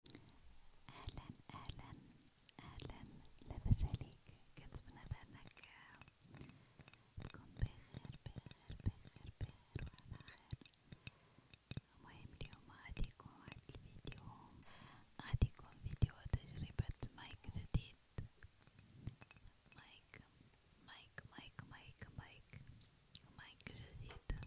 اهلا اهلا اهلا لاباس عليك كنتمنى بانك تكون بخير بخير بخير بخير وعلى خير المهم اليوم غادي يكون واحد الفيديو غادي يكون فيديو تجربة مايك جديد مايك مايك مايك مايك مايك مايك جديد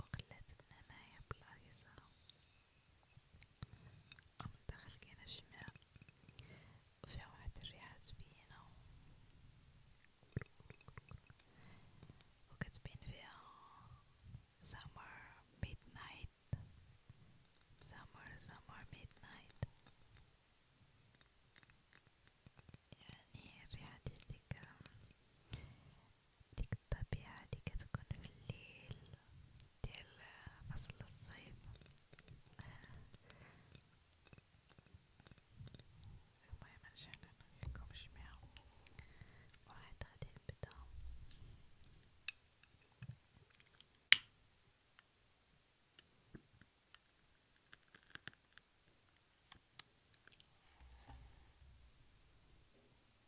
وقلة العناية بالعريسة قمت دخل كينا الشمع وجا واحد الريحة زوينة وكتبين فيها summer midnight summer summer midnight يعني الريحة ديال ديك ديك الطبيعة لي كتكون في الليل ديال فصل الصيف المهم نجعل نوريكم جميعا واحد غادي نبدا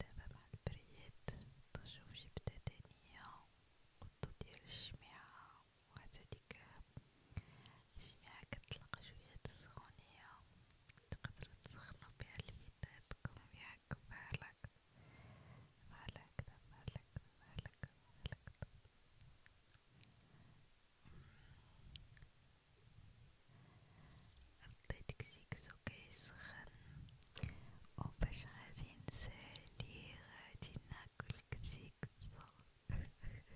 دابا مع البريد تنشوف شي بتدانية قطو ديال الشميعة وحتى ديك الشميعة كتلقى شوية السخونية تقدرو تسخنو بها ليداتكم ياك فالك فالك فالك فالك فالك رديت كسيكسو كيس سخن وباش غادي نسالي غادي ناكل كسيكسو المهم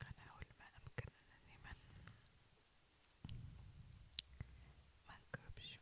كنحاول ما امكن انني ما منكبش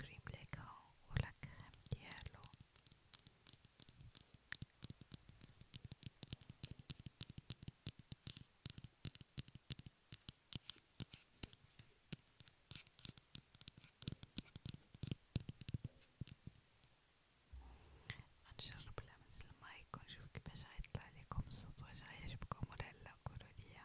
الكريم ليكرون ولا الكريم ديالو غنجرب لمس المايك ونشوف كيفاش غيطلع ليكم الصوت واش غيعجبكم ولا لا قولوليا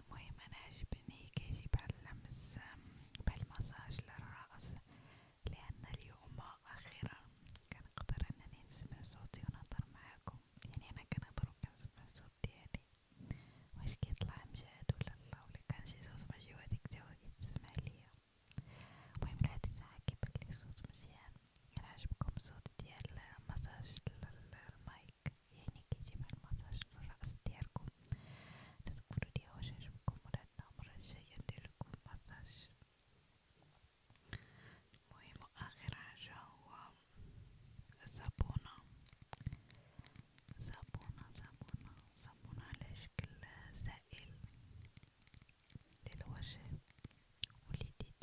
المهم أنا عجبني كيجي بعد اللمس بالمساج للرأس لأن اليوم أخيرا كنقدر أنني نسمع صوتي ونهضر معاكم يعني أنا كنهضر وكنسمع الصوت ديالي يعني. واش كيطلع مجهد ولا لا ولا كان شي صوت ماشي هو هديك تا هو كيتسمع ليا المهم لهاد الساعة كيبانلي صوت مزيان إلا يعني عجبكم الصوت ديال مساج الماء هيك يعني كيجيب على المساج للرأس ديالكم تذكروا لي واش عجبكم ولا لا المرة الجاية ندير لكم مساج المهم وآخر حاجة هو صابونة صابونة صابونة صابونة على شكل سائل للوجه واليديدات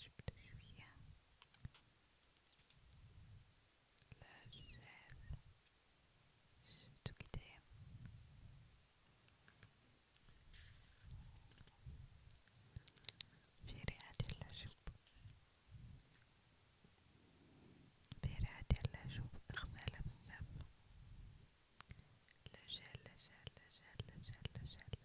جبت شوية العجاف شفتو كدا في ريحة ديال العشب في ريحة ديال العشب أغزالة بزاف le gel, le gel, le gel, le gel, le gel,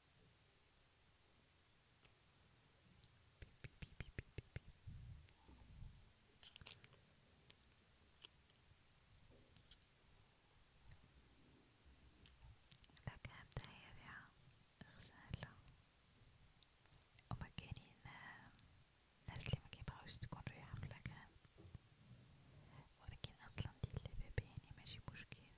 لك رائعة غزالة هما كاينين ناس لي مكيبغيوش تكون ريحة في لكان ولكن أصلا ديال لي بيبي يعني ماشي مشكل شو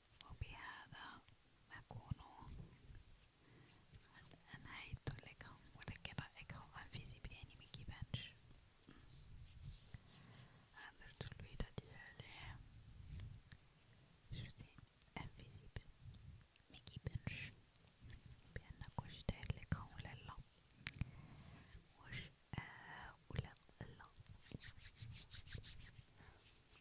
وبهذا أكون قد أنهيت لكم ولكن رأيكم أنفسي بأني مكيبانش عملت الفيديو ديالي شفتي انفيزيبل مكيبانش بأن كلشي داير لكم ولا لا واش آه ولا لا